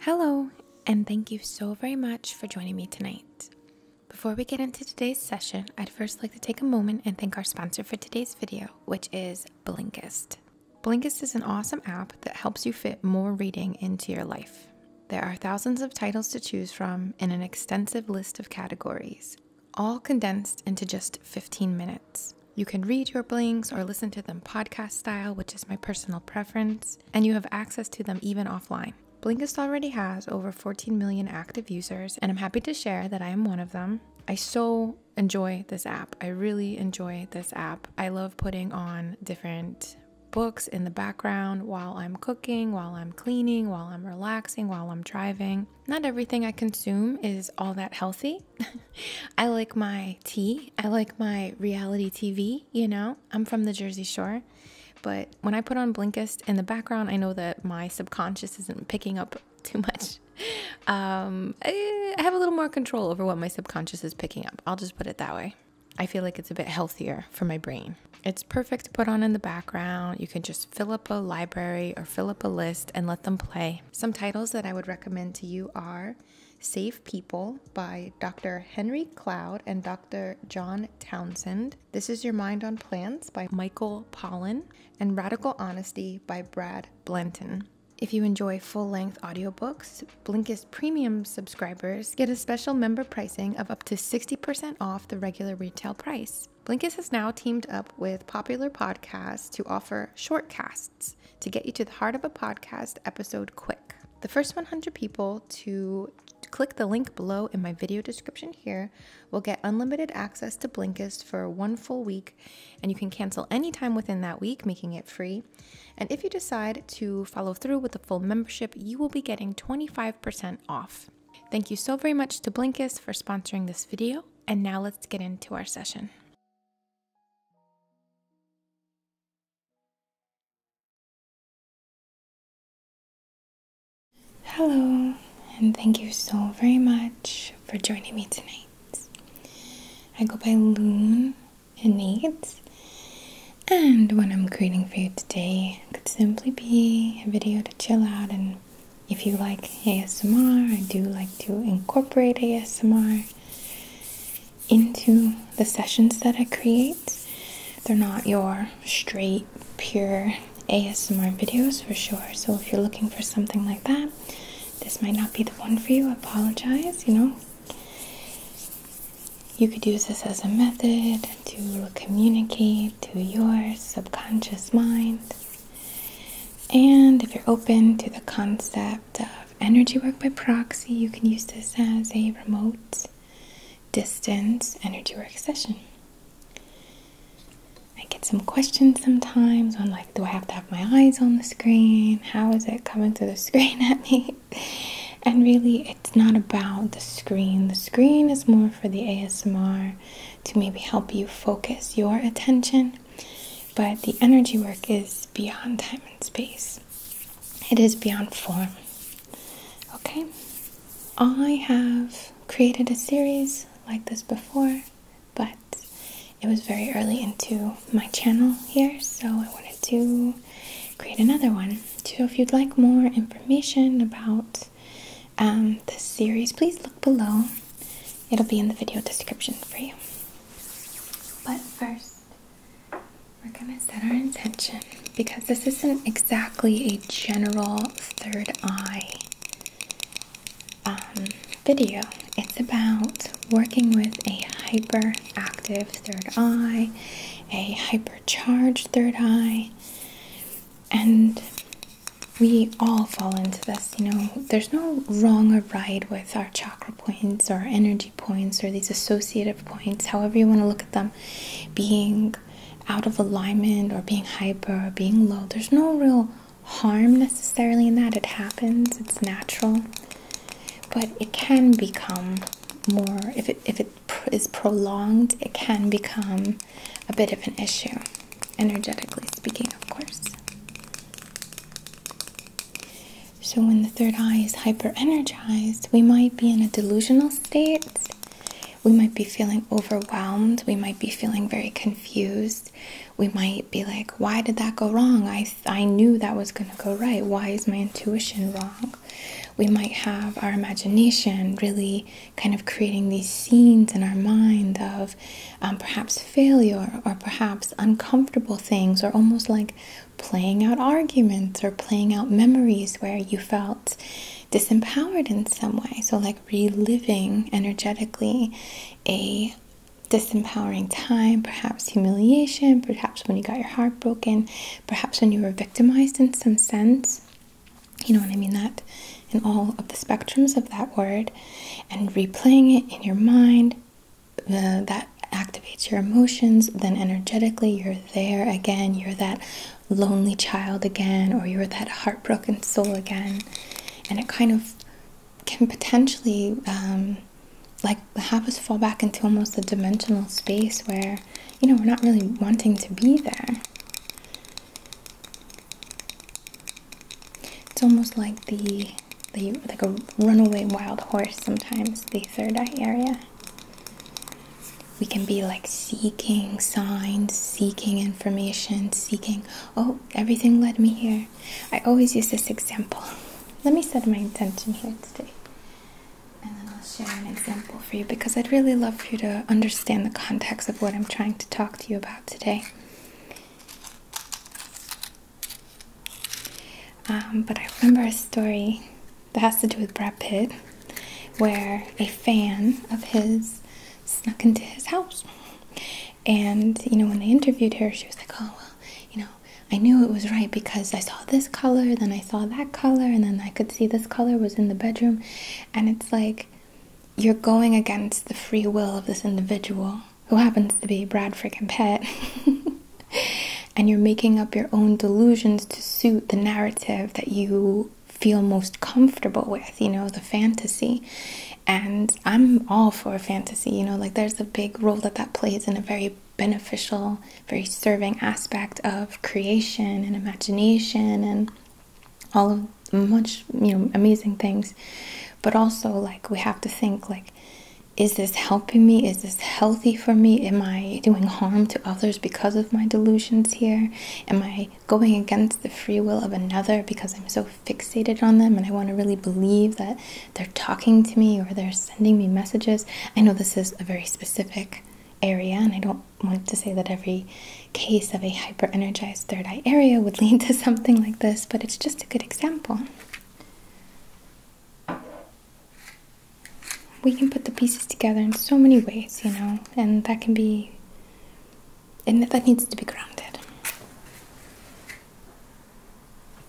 Hello, and thank you so very much for joining me tonight. Before we get into today's session, I'd first like to take a moment and thank our sponsor for today's video, which is Blinkist. Blinkist is an awesome app that helps you fit more reading into your life. There are thousands of titles to choose from in an extensive list of categories, all condensed into just 15 minutes. You can read your blinks or listen to them podcast style, which is my personal preference and you have access to them even offline. Blinkist already has over 14 million active users, and I'm happy to share that I am one of them. I so enjoy this app. I really enjoy this app. I love putting on different books in the background while I'm cooking, while I'm cleaning, while I'm relaxing, while I'm driving. Not everything I consume is all that healthy. I like my tea, I like my reality TV, you know, I'm from the Jersey Shore. But when I put on Blinkist in the background, I know that my subconscious isn't picking up too much. Um, I have a little more control over what my subconscious is picking up. I'll just put it that way. I feel like it's a bit healthier for my brain. It's perfect to put on in the background. You can just fill up a library or fill up a list and let them play. Some titles that I would recommend to you are Save People by Dr. Henry Cloud and Dr. John Townsend. This is Your Mind on Plants by Michael Pollan, and Radical Honesty by Brad Blanton. If you enjoy full length audiobooks, Blinkist Premium subscribers get a special member pricing of up to 60% off the regular retail price. Blinkist has now teamed up with popular podcasts to offer short casts to get you to the heart of a podcast episode quick. The first 100 people to click the link below in my video description here will get unlimited access to Blinkist for one full week, and you can cancel anytime within that week, making it free. And if you decide to follow through with a full membership, you will be getting 25% off. Thank you so very much to Blinkist for sponsoring this video, and now let's get into our session. Hello, and thank you so very much for joining me tonight. I go by Loon and Nate, and what I'm creating for you today could simply be a video to chill out. And if you like ASMR, I do like to incorporate ASMR into the sessions that I create. They're not your straight, pure ASMR videos for sure. So if you're looking for something like that, this might not be the one for you. I apologize, you know. You could use this as a method to communicate to your subconscious mind. And if you're open to the concept, concept of energy work by proxy, you can use this as a remote distance energy work session. I get some questions sometimes on, like, do I have to have my eyes on the screen? How is it coming through the screen at me? And really, it's not about the screen. The screen is more for the ASMR to maybe help you focus your attention, but the energy work is beyond time and space. It is beyond form. Okay, I have created a series like this before, but it was very early into my channel here, so I wanted to create another one. So, if you'd like more information about um, this series, please look below, it'll be in the video description for you. But first, we're going to set our intention because this isn't exactly a general third eye um, video. It's about working with a hyperactive third eye, a hypercharged third eye, and we all fall into this. You know, there's no wrong or right with our chakra points or energy points or these associative points, however you want to look at them, being out of alignment or being hyper or being low. There's no real harm necessarily in that. It happens, it's natural. But it can become more, if it, if it prolonged, it can become a bit of an issue, energetically speaking, of course. So, when the third eye is hyper energized, we might be in a delusional state. We might be feeling overwhelmed. We might be feeling very confused. We might be like, why did that go wrong? I, I knew that was going to go right. Why is my intuition wrong? We might have our imagination really kind of creating these scenes in our mind of um, perhaps failure or perhaps uncomfortable things or almost like playing out arguments or playing out memories where you felt disempowered in some way. So, like reliving energetically a disempowering time, perhaps humiliation, perhaps when you got your heart broken, perhaps when you were victimized in some sense. You know what I mean? That in all of the spectrums of that word, and replaying it in your mind, uh, that activates your emotions, then energetically you're there again. You're that lonely child again, or you're that heartbroken soul again. And it kind of can potentially um, like have us fall back into almost a dimensional space where, you know, we're not really wanting to be there. It's almost like the like a runaway wild horse sometimes the third eye area we can be like seeking signs seeking information seeking oh everything led me here i always use this example let me set my intention here today and then i'll share an example for you because i'd really love for you to understand the context of what i'm trying to talk to you about today um, but I remember a story that has to do with Brad Pitt, where a fan of his snuck into his house. And, you know, when they interviewed her, she was like, oh, well, you know, I knew it was right because I saw this color, then I saw that color, and then I could see this color was in the bedroom. And it's like, you're going against the free will of this individual who happens to be Brad freaking Pitt. and you're making up your own delusions to suit the narrative that you feel most comfortable with, you know, the fantasy. And I'm all for fantasy, you know, like there's a big role that that plays in a very beneficial, very serving aspect of creation and imagination and all of much, you know, amazing things. But also, like, we have to think, like, is this helping me? Is this healthy for me? Am I doing harm to others because of my delusions here? Am I going against the free will of another because I'm so fixated on them and I want to really believe that they're talking to me or they're sending me messages? I know this is a very specific area, and I don't want to say that every case of a hyper energized third eye area would lead to something like this, but it's just a good example we can put the pieces together in so many ways, you know, and that can be, and that needs to be grounded.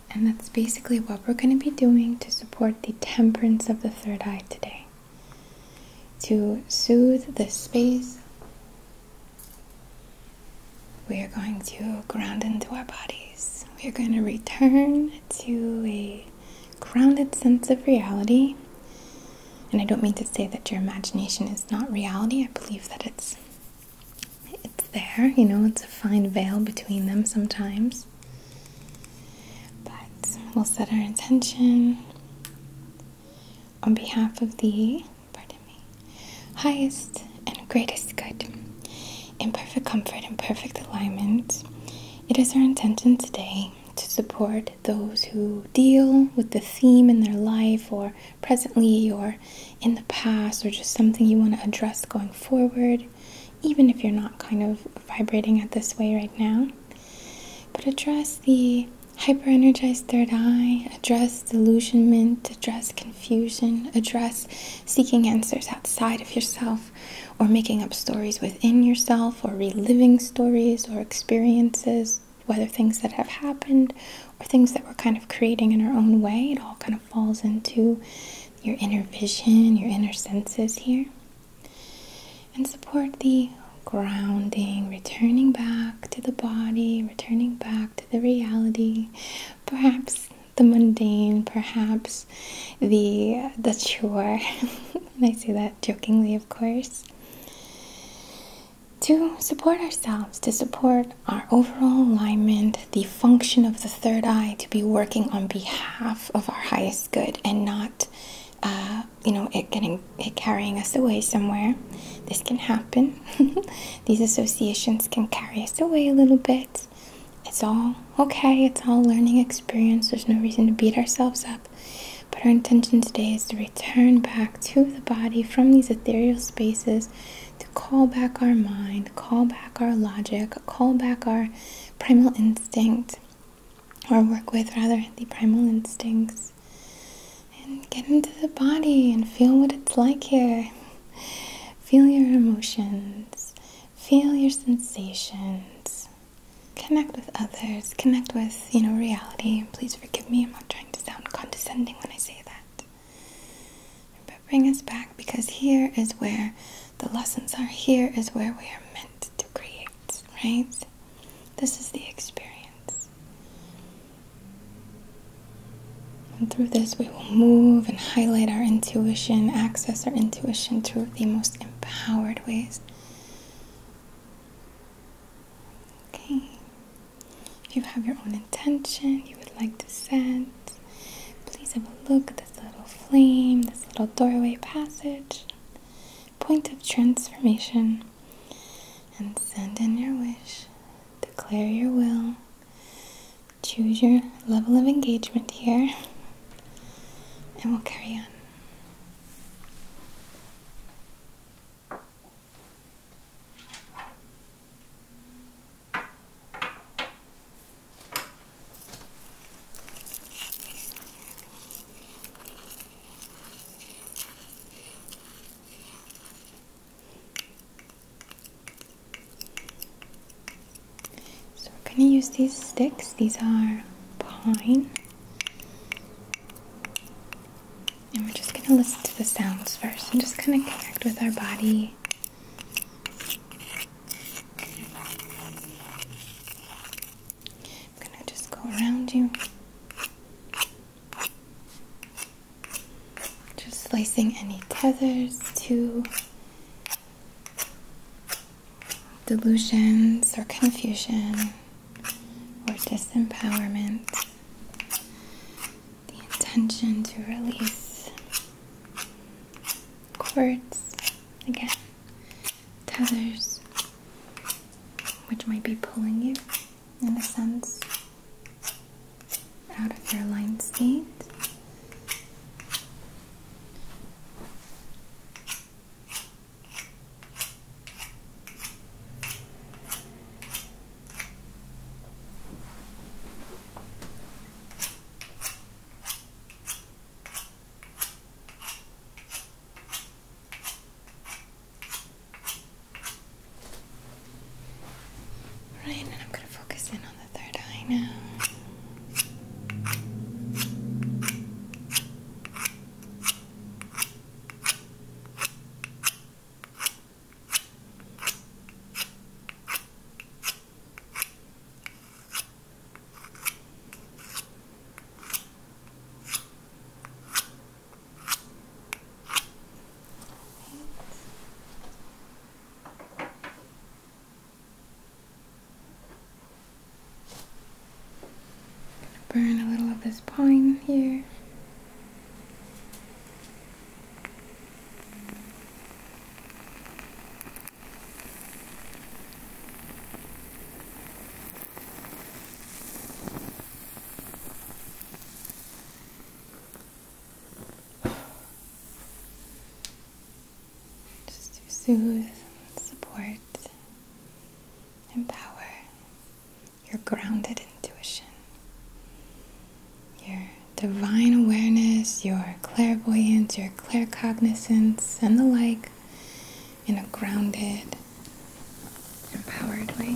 And that's basically what we're going to be doing to support the temperance of the third eye today. To soothe this space, we are going to ground into our bodies. We are going to return to a grounded sense of reality. And I don't mean to say that your imagination is not reality. I believe that it's it's there, you know, it's a fine veil between them sometimes. But we'll set our intention on behalf of the highest and greatest good. In perfect comfort and perfect alignment, it is our intention today to support those who deal with the theme in their life or presently or in the past or just something you want to address going forward, even if you're not kind of vibrating at this way right now. But address the hyperenergized third eye, address delusionment, address confusion, address seeking answers outside of yourself or making up stories within yourself or reliving stories or experiences, whether things that have happened or things that we're kind of creating in our own way. It all kind of falls into your inner vision, your inner senses here. And support the grounding, returning back to the body, returning back to the reality. Perhaps the mundane, perhaps the the chore. and I say that jokingly, of course. To support ourselves, to support our overall alignment, the function of the third eye to be working on behalf of our highest good and not, uh, you know, it getting it carrying us away somewhere. This can happen. These associations can carry us away a little bit it's all okay it's all learning experience there's no reason to beat ourselves up but our intention today is to return back to the body from these ethereal spaces to call back our mind call back our logic call back our primal instinct or work with rather the primal instincts and get into the body and feel what it's like here feel your emotions Feel your sensations. Connect with others. Connect with, you know, reality. Please forgive me. I'm not trying to sound condescending when I say that. But bring us back because here is where the lessons are. Here is where we are meant to create, right? This is the experience. And through this we we move and highlight our intuition, access our intuition through the most empowered ways. Okay. If you have your own intention you would like to send, please have a look at this little flame, this little doorway passage, point of transformation, and send in your wish. Declare your will Choose your level of engagement here, and we'll carry on. So we're going to use these sticks. These are pine. And we're just going to listen to the sounds first and just kind of connect with our body. I'm going to just go around you. Just slicing any tethers to delusions or confusion or disempowerment, the intention to release cords, again, tethers, which might be pulling you in a sense out of your aligned state. Right, and I'm going to focus in the third eye now. Burn a little of this pine here. Just to soothe, support, empower your grounded intuition, your divine awareness, your clairvoyance, your claircognizance, and the like in a grounded, empowered way.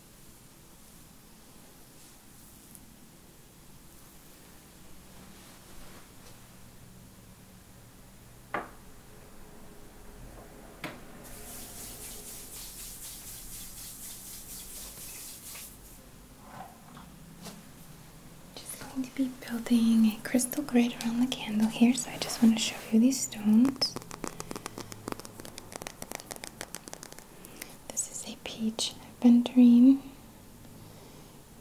just going to be building a crystal grid around the candle here, so I just want to show you these stones. This is a peach aventurine.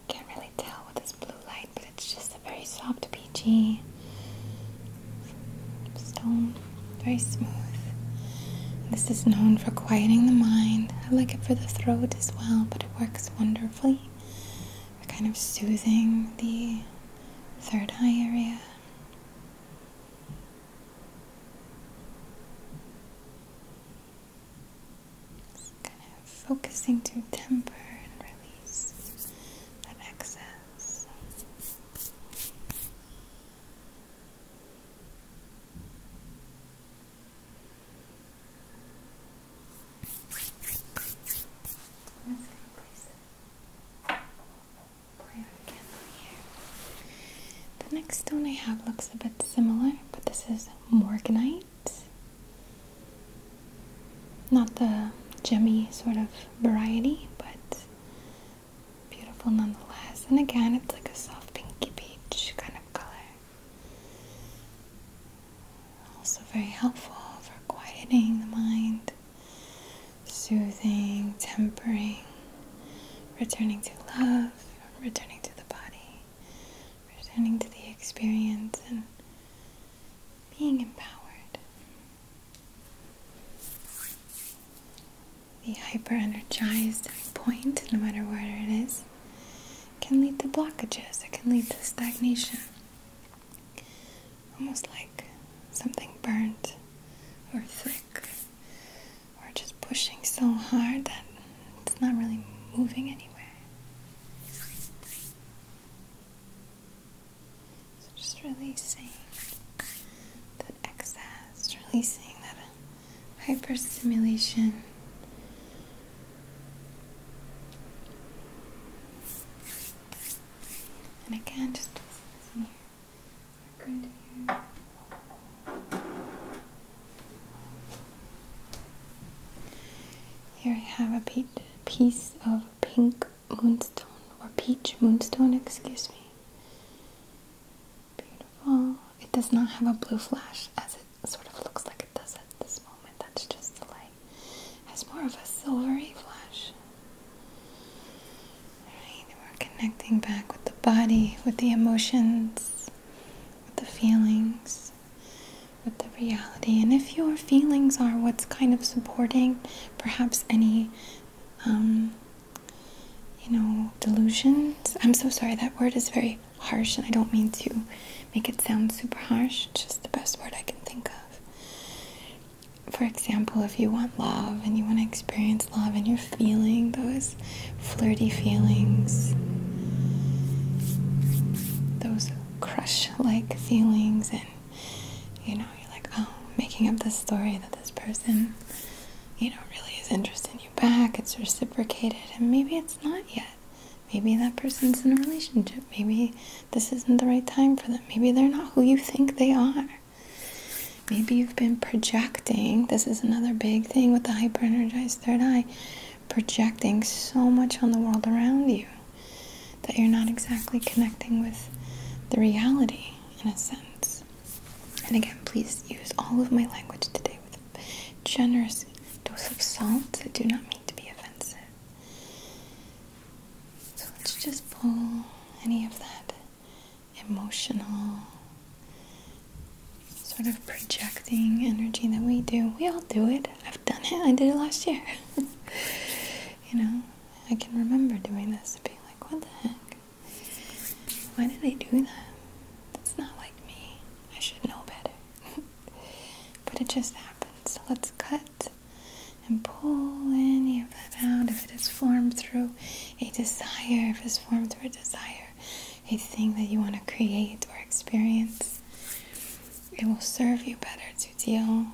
Can't really tell with this blue light, but it's just a very soft peachy stone. Very smooth. This is known for quieting the mind. I like it for the throat as well, but it works wonderfully for kind of soothing the third eye area kind of focusing to temper and release that excess. The next stone I have looks a bit similar, but this is morganite. Not the gemmy sort of variety, but beautiful nonetheless. And again, it's like a soft pinky peach kind of color. Also, very helpful for quieting the mind, soothing, tempering, returning to love, returning to the body, returning to the experience, and being empowered. The hyper energized point, no matter where it is, can lead to blockages, it can lead to stagnation. Almost like something burnt or thick we're just pushing so hard that it's not really moving anywhere. So just releasing that excess, releasing that hyperstimulation. And again, just here here. I have a piece of pink moonstone, or peach moonstone, excuse me. Beautiful. It does not have a blue flash as it sort of looks like it does at this moment. That's just the light. It has more of a silvery flash we're connecting back with the body, with the emotions, with the feelings, with the reality. And if your feelings are what's kind of supporting perhaps any, um, you know, delusions. I'm so sorry, that word is very harsh, and I don't mean to make it sound super harsh, just the best word I can think of. For example, if you want love and you want to experience love and you're feeling those flirty feelings, those crush like feelings, and you know, you're like, oh, making up this story that this person, you know, really is interested in you back, it's reciprocated, and maybe it's not yet. Maybe that person's in a relationship. Maybe this isn't the right time for them. Maybe they're not who you think they are. Maybe you've been projecting. This is another big thing with the hyper energized third eye projecting so much on the world around you that you're not exactly connecting with the reality in a sense. And again, please use all of my language today with a generous dose of salt that do not mean to be offensive. So let's just pull any of that emotional sort of projecting energy that we do. We all do it. I've done it. I did it last year. you know, I can remember doing this and being like, what the heck? Why did I do that? That's not like me. I should know better. but it just happens. So let's cut and pull any of that out if it is formed through a desire, if it's formed through a desire desire, a thing that you want to create or experience, it will serve you better to deal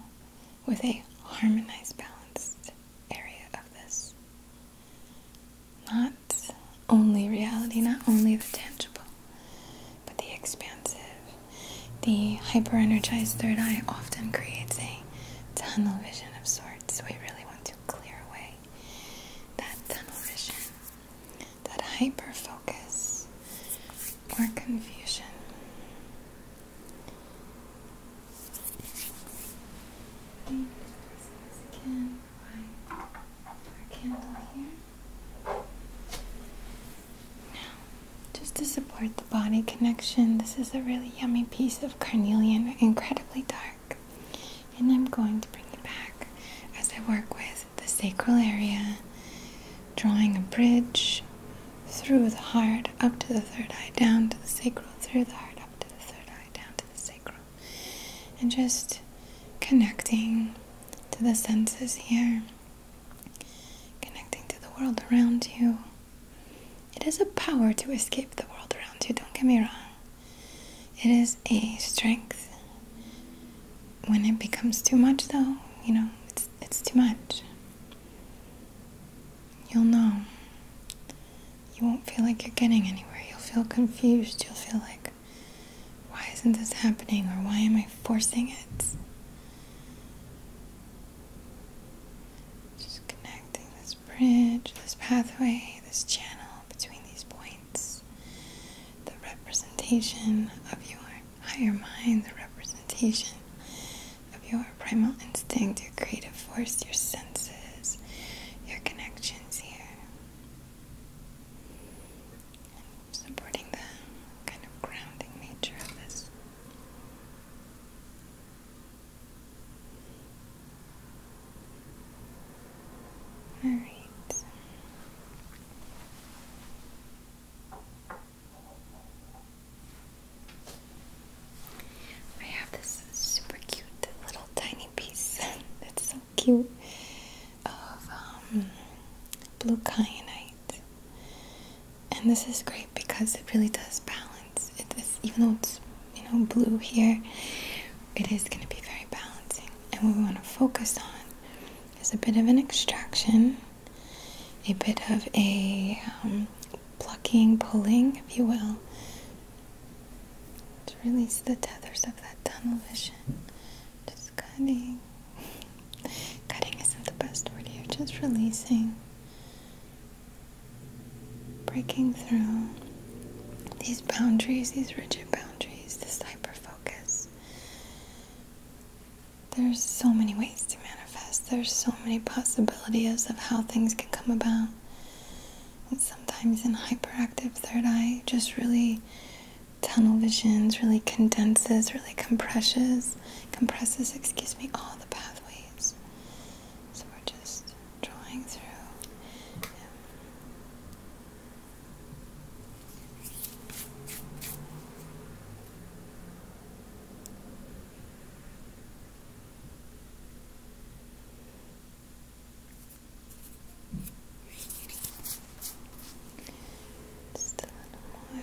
with a harmonized, balanced area of this. Not only reality, not only the tangible, but the expansive. The hyper energized third eye often creates a tunnel vision of sorts. We really want to clear away that tunnel vision, that hyper focus, or confusion. again our candle here. Now, just to support the body connection, this is a really yummy piece of carnelian, incredibly dark. And I'm going to bring it back as I work with the sacral area, drawing a bridge through the heart, up to the third eye, down to the sacral, through the heart, up to the third eye, down to the sacral. And just connecting to the senses here, connecting to the world around you. It is a power to escape the world around you, don't get me wrong. It is a strength. When it becomes too much, though, you know, it's, it's too much. You'll know. You won't feel like you're getting anywhere. You'll feel confused. You'll feel like, why isn't this happening? Or why am I forcing it? Just connecting this bridge, this pathway, this channel between these points. The representation of your higher mind, the representation of your primal instinct, your creative force, your senses, your connections here. supporting the kind of grounding nature of this. All right. I have this super cute little tiny piece that's so cute of um, blue kyanite. And this is great because it really does balance. It is, even though it's you know, blue here, it is going to be very balancing. And what we want to focus on is a bit of an extraction, a bit of a um, plucking, pulling, if you will, to release the tethers of that tunnel vision. Just cutting. Cutting isn't the best word here, just releasing breaking through these boundaries, these rigid boundaries, this hyper focus. There's so many ways to manifest, there's so many possibilities of how things can come about. And sometimes in hyperactive third eye, just really tunnel visions, really condenses, really compresses, compresses, excuse me, all the pathways. So we're just drawing through. Just a little more.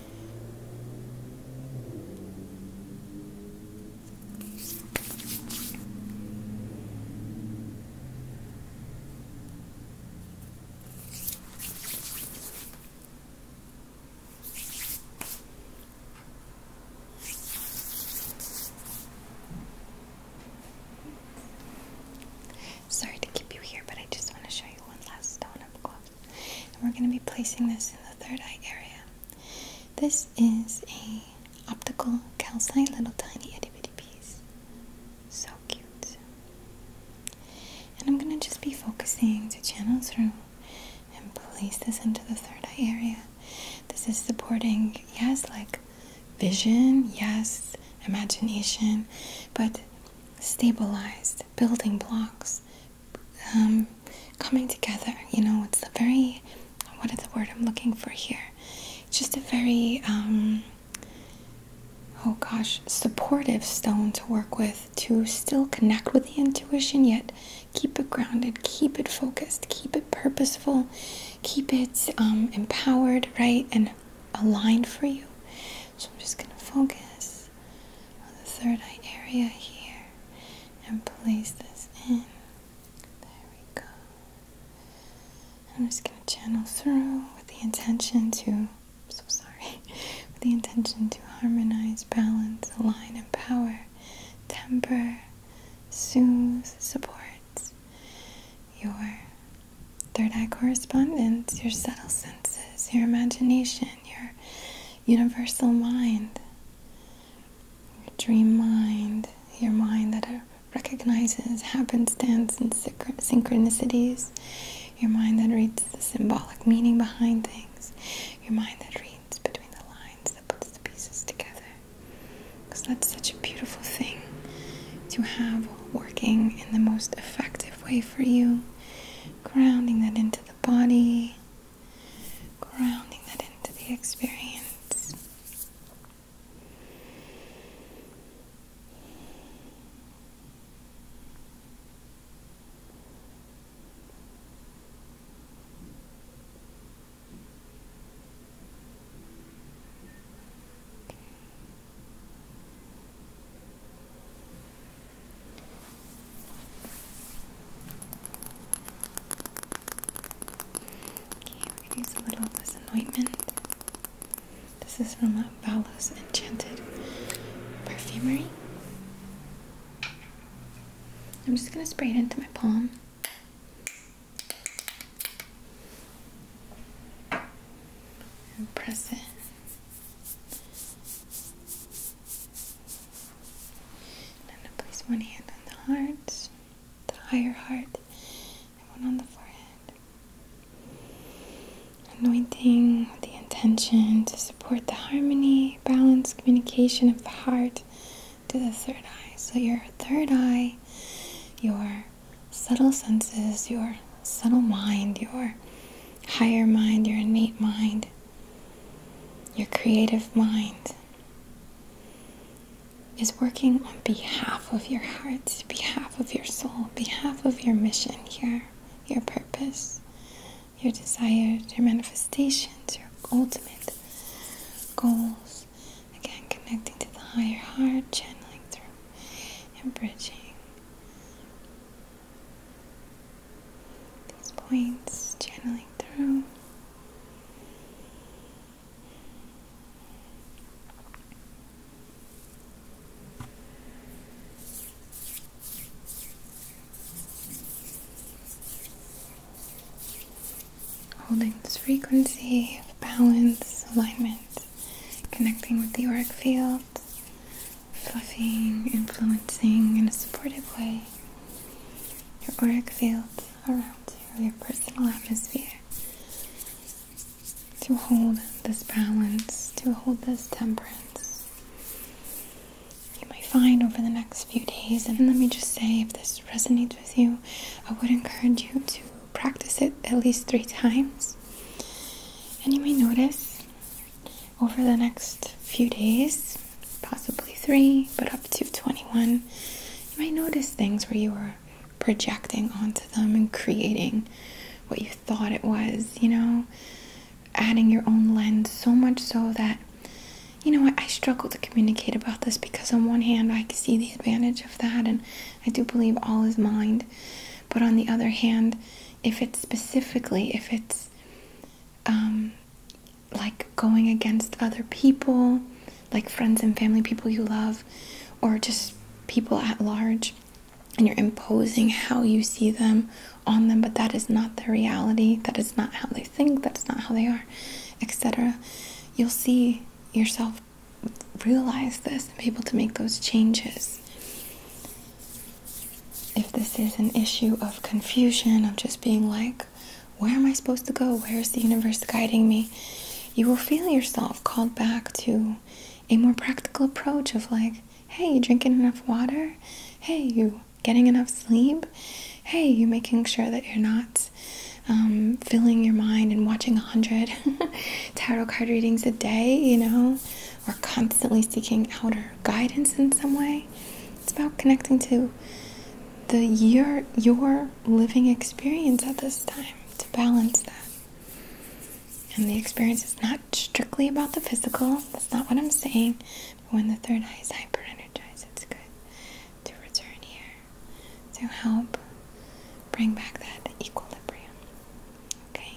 Sorry to keep you here, but I just want to show you one last stone up close. we're going to be placing this in the third eye area. This is a optical calcite, little tiny itty bitty piece. So cute. And I'm gonna just be focusing to channel through and place this into the third eye area. This is supporting, yes, like vision, yes, imagination, but stabilized building blocks um, coming together. You know, it's a very what is the word I'm looking for here? It's just a very um, oh gosh, supportive stone to work with to still connect with the intuition, yet keep it grounded, keep it focused, keep it purposeful, keep it um, empowered, right, and aligned for you. So I'm just gonna focus on the third eye area here and place this in. There we go. I'm just going to channel through with the intention to, I'm so sorry, with the intention to harmonize, balance, align, empower, temper, soothe, support your third eye correspondence, your subtle senses, your imagination, your universal mind, your dream mind, your mind that recognizes happenstance and synchronicities, your mind that reads the symbolic meaning behind things, your mind that reads between the lines, that puts the pieces together. Because that's such a beautiful thing to have working in the most effective way for you, grounding that into the body, grounding that into the experience. Okay, we a little of this is from a Valos Enchanted Perfumery. I'm just gonna spray it into my palm. And press it and I'm gonna place one hand on the heart, the higher heart, and one on the forehead. Anointing the intention to support the harmony, balance, communication of the heart to the third eye. So your third eye, your subtle senses, your subtle mind, your higher mind, your innate mind your creative mind is working on behalf of your heart, behalf of your soul, behalf of your mission here, your purpose, your desires, your manifestations, your ultimate goals. Again, connecting to the higher heart, channeling through and bridging these points, channeling through. Holding this frequency of balance, alignment, connecting with the auric field, fluffing, influencing in a supportive way your auric field around you, your personal atmosphere. To hold this balance, to hold this temperance, you may find over the next few days. And let me just say, if this resonates with you, I would encourage you to practice it at least three times. And you may notice over the next few days, possibly three, but up to 21, you might notice things where you were projecting onto them and creating what you thought it was, you know, adding your own lens so much so that, you know, I, struggle to communicate about this because, on one hand, I can see the advantage of that, and I do believe all is mind. But on the other hand, if it's specifically, if it's um, like going against other people, like friends and family, people you love, or just people at large, and you're imposing how you see them on them, but that is not the reality, that is not how they think, that's not how they are, etc. You'll see yourself realize this and be able to make those changes if this is an issue of confusion, of just being like, where am I supposed to go? Where is the universe guiding me? You will feel yourself called back to a more practical approach of like, hey, you drinking enough water? Hey, you getting enough sleep? Hey, you making sure that you're not um, filling your mind and watching a hundred tarot card readings a day, you know, or constantly seeking outer guidance in some way. It's about connecting to the your your living experience at this time to balance that. And the experience is not strictly about the physical. That's not what I'm saying. But when the third eye is hyper energized, it's good to return here to help bring back that equilibrium. Okay.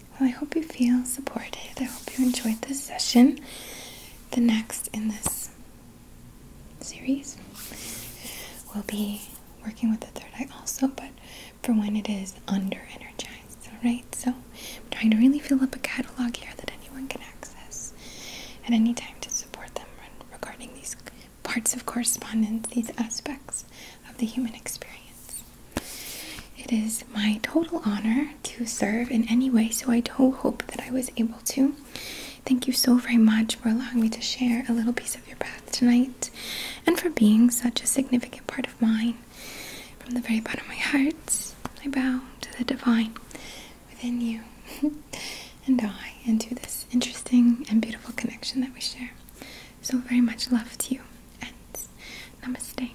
Well, I hope you feel supported. I hope you enjoyed this session. The next in this series will be working with the third eye also, but for when it is under energized, alright? So I'm trying to really fill up a catalog here that anyone can access at any time to support them regarding these parts of correspondence, these aspects of the human experience. It is my total honor to serve in any way, so I do hope that I was able to. Thank you so very much for allowing me to share a little piece of your path tonight and for being such a significant part of mine. From the very bottom of my heart, I bow to the divine within you and I, and to this interesting and beautiful connection that we share. So very much love to you, and namaste.